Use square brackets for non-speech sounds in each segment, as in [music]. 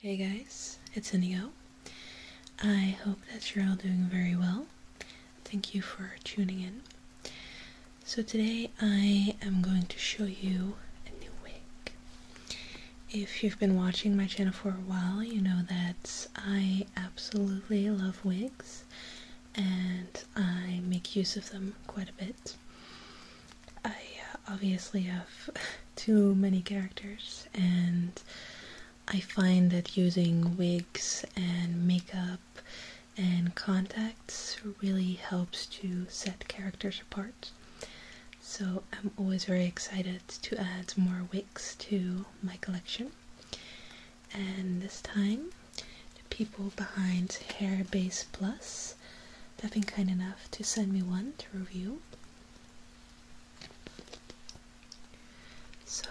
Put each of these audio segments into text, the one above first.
Hey guys, it's Inigo. I hope that you're all doing very well. Thank you for tuning in. So today I am going to show you a new wig. If you've been watching my channel for a while, you know that I absolutely love wigs and I make use of them quite a bit. I uh, obviously have [laughs] too many characters, and I find that using wigs and makeup and contacts really helps to set characters apart. So I'm always very excited to add more wigs to my collection. And this time, the people behind Hair Base Plus, have been kind enough to send me one to review. So,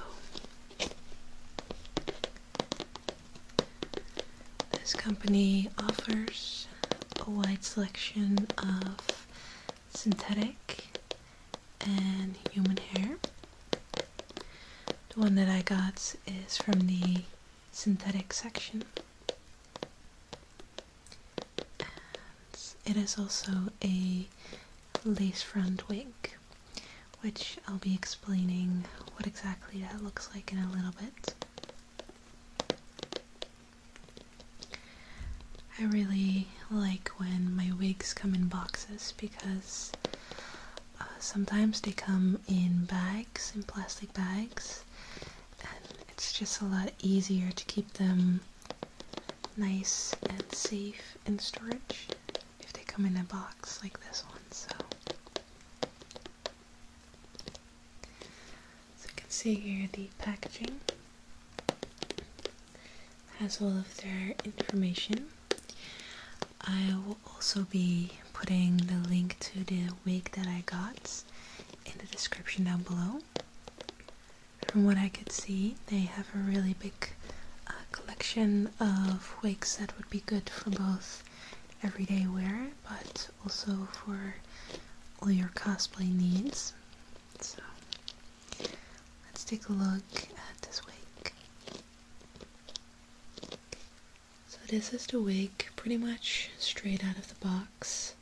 this company offers a wide selection of synthetic and human hair. The one that I got is from the synthetic section. And it is also a lace front wig, which I'll be explaining what exactly that looks like in a little bit. I really like when my wigs come in boxes because uh, sometimes they come in bags, in plastic bags, and it's just a lot easier to keep them nice and safe in storage if they come in a box like this one so so you can see here the packaging has all of their information I will also be putting the link to the wig that I got in the description down below. From what I could see, they have a really big uh, collection of wigs that would be good for both everyday wear, but also for all your cosplay needs. So, let's take a look at this wig. So this is the wig, pretty much straight out of the box.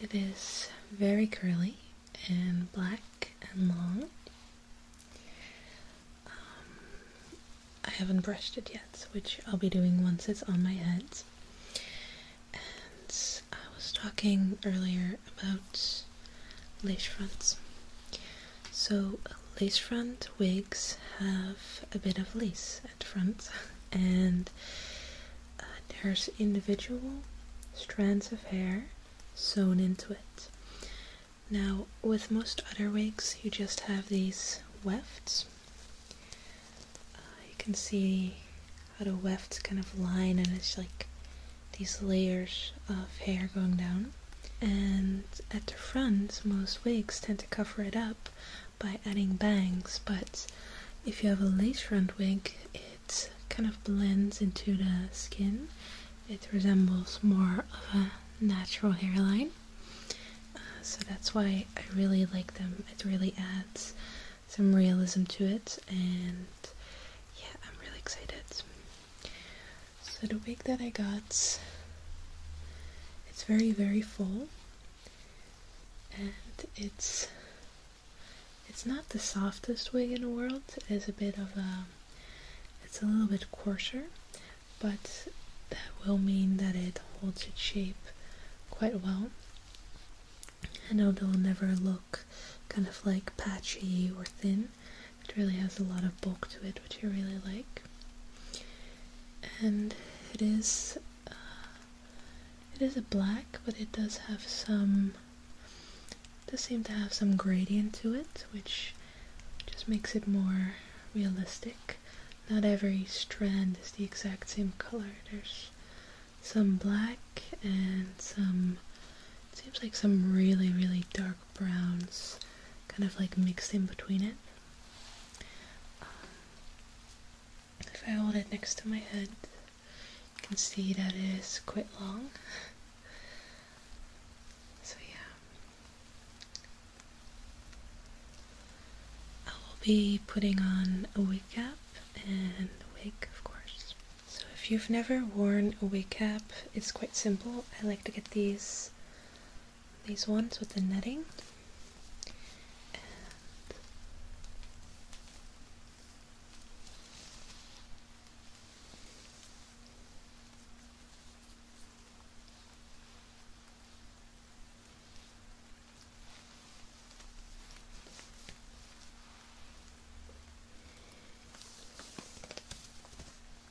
It is very curly and black and long. Um, I haven't brushed it yet, which I'll be doing once it's on my head. And I was talking earlier about lace fronts. So lace front wigs have a bit of lace at front. [laughs] and there's individual strands of hair sewn into it. Now, with most other wigs, you just have these wefts. Uh, you can see how the wefts kind of line, and it's like these layers of hair going down. And at the front, most wigs tend to cover it up by adding bangs, but if you have a lace front wig, it kind of blends into the skin. It resembles more of a natural hairline. Uh, so that's why I really like them. It really adds some realism to it, and yeah, I'm really excited. So the wig that I got, it's very, very full and it's it's not the softest wig in the world. It is a bit of a it's a little bit coarser, but that will mean that it holds its shape quite well. And although it'll never look kind of like patchy or thin, it really has a lot of bulk to it, which I really like and it is uh, it is a black, but it does have some does seem to have some gradient to it, which just makes it more realistic. Not every strand is the exact same color. There's some black and some it seems like some really really dark browns kind of like mixed in between it if I hold it next to my head, you can see that it is quite long. [laughs] So yeah. I will be putting on a wig cap and the wig, of course. So if you've never worn a wig cap, it's quite simple. I like to get these these ones with the netting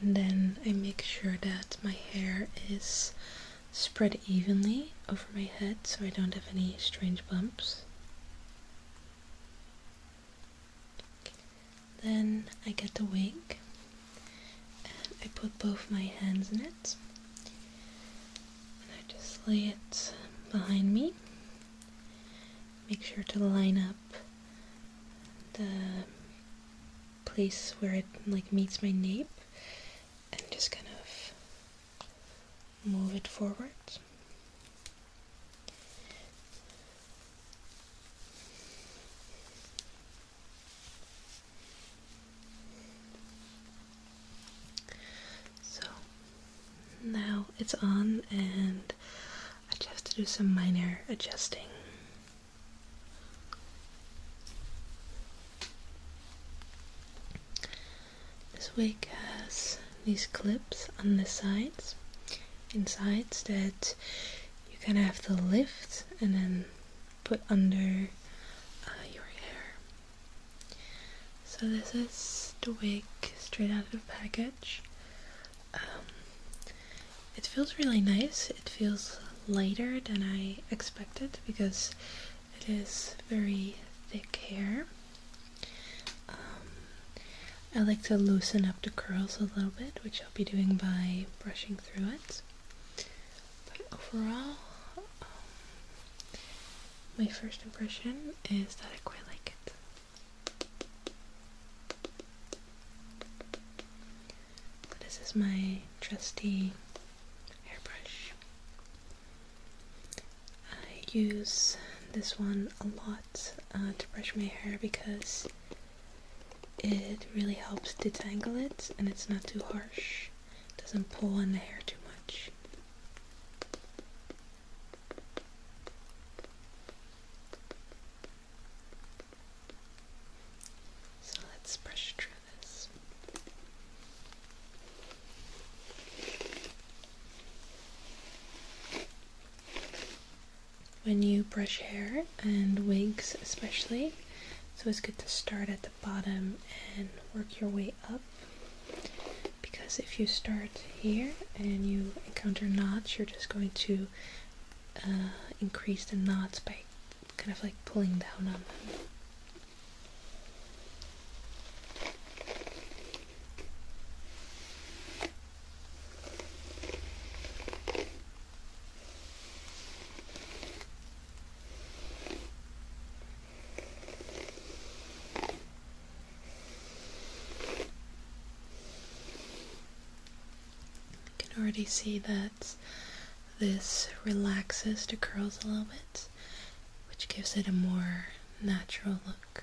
then I make sure that my hair is spread evenly over my head so I don't have any strange bumps. Then I get the wig and I put both my hands in it and I just lay it behind me. Make sure to line up the place where it like meets my nape and just kind of move it forward. So now it's on and I just have to do some minor adjusting. This wig has these clips on the sides, inside that you kind of have to lift and then put under uh, your hair. So this is the wig straight out of the package. Um, it feels really nice. It feels lighter than I expected because it is very thick hair. Um, I like to loosen up the curls a little bit, which I'll be doing by brushing through it. But overall, um, my first impression is that I quite like it this is my trusty hairbrush. I use this one a lot uh, to brush my hair because it really helps detangle it and it's not too harsh. doesn't pull on the hair too much. So let's brush through this. When you brush hair and wigs, especially, it's always good to start at the bottom and work your way up. Because if you start here and you encounter knots, you're just going to uh, increase the knots by kind of like pulling down on them. You can already see that this relaxes the curls a little bit, which gives it a more natural look.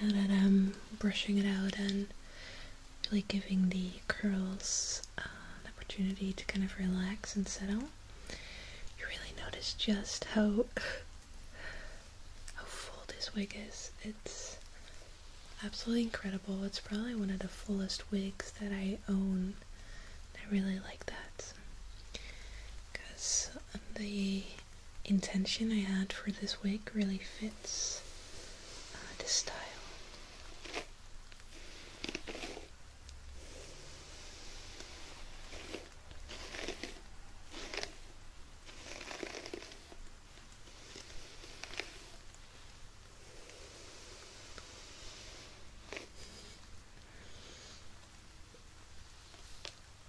Now that I'm brushing it out and really giving the curls uh, an opportunity to kind of relax and settle, you really notice just how how full this wig is. It's absolutely incredible. It's probably one of the fullest wigs that I own. I really like that because the intention I had for this wig really fits uh, the style.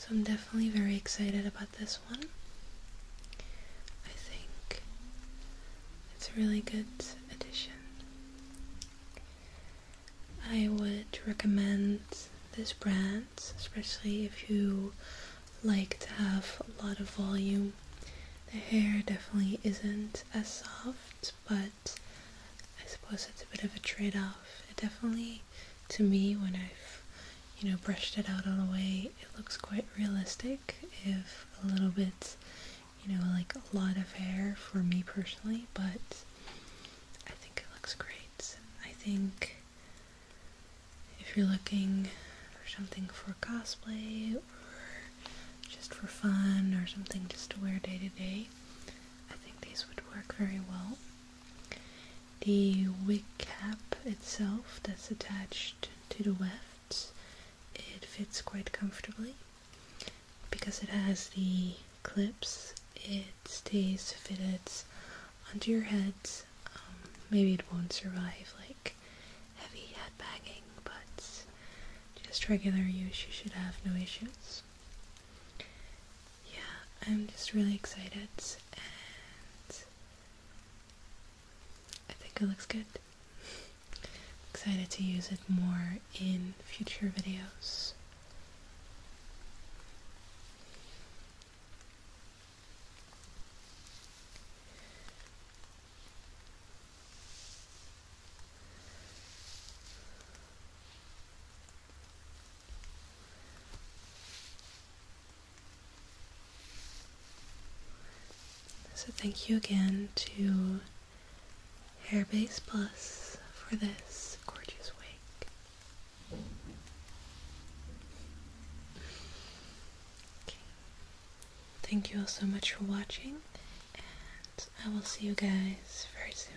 So I'm definitely very excited about this one. I think it's a really good addition. I would recommend this brand, especially if you like to have a lot of volume. The hair definitely isn't as soft, but I suppose it's a bit of a trade off. It definitely, to me, when I've you know, brushed it out on the way it looks quite realistic, if a little bit, you know, like a lot of hair for me personally, but I think it looks great. I think if you're looking for something for cosplay or just for fun or something just to wear day to day, I think these would work very well. The wig cap itself that's attached to the left, it fits quite comfortably. Because it has the clips, it stays fitted onto your head. Um, maybe it won't survive like heavy head bagging, but just regular use, you should have no issues. Yeah, I'm just really excited and I think it looks good. Excited to use it more in future videos. So thank you again to Hairbase Plus for this gorgeous wig. Thank you all so much for watching, and I will see you guys very soon.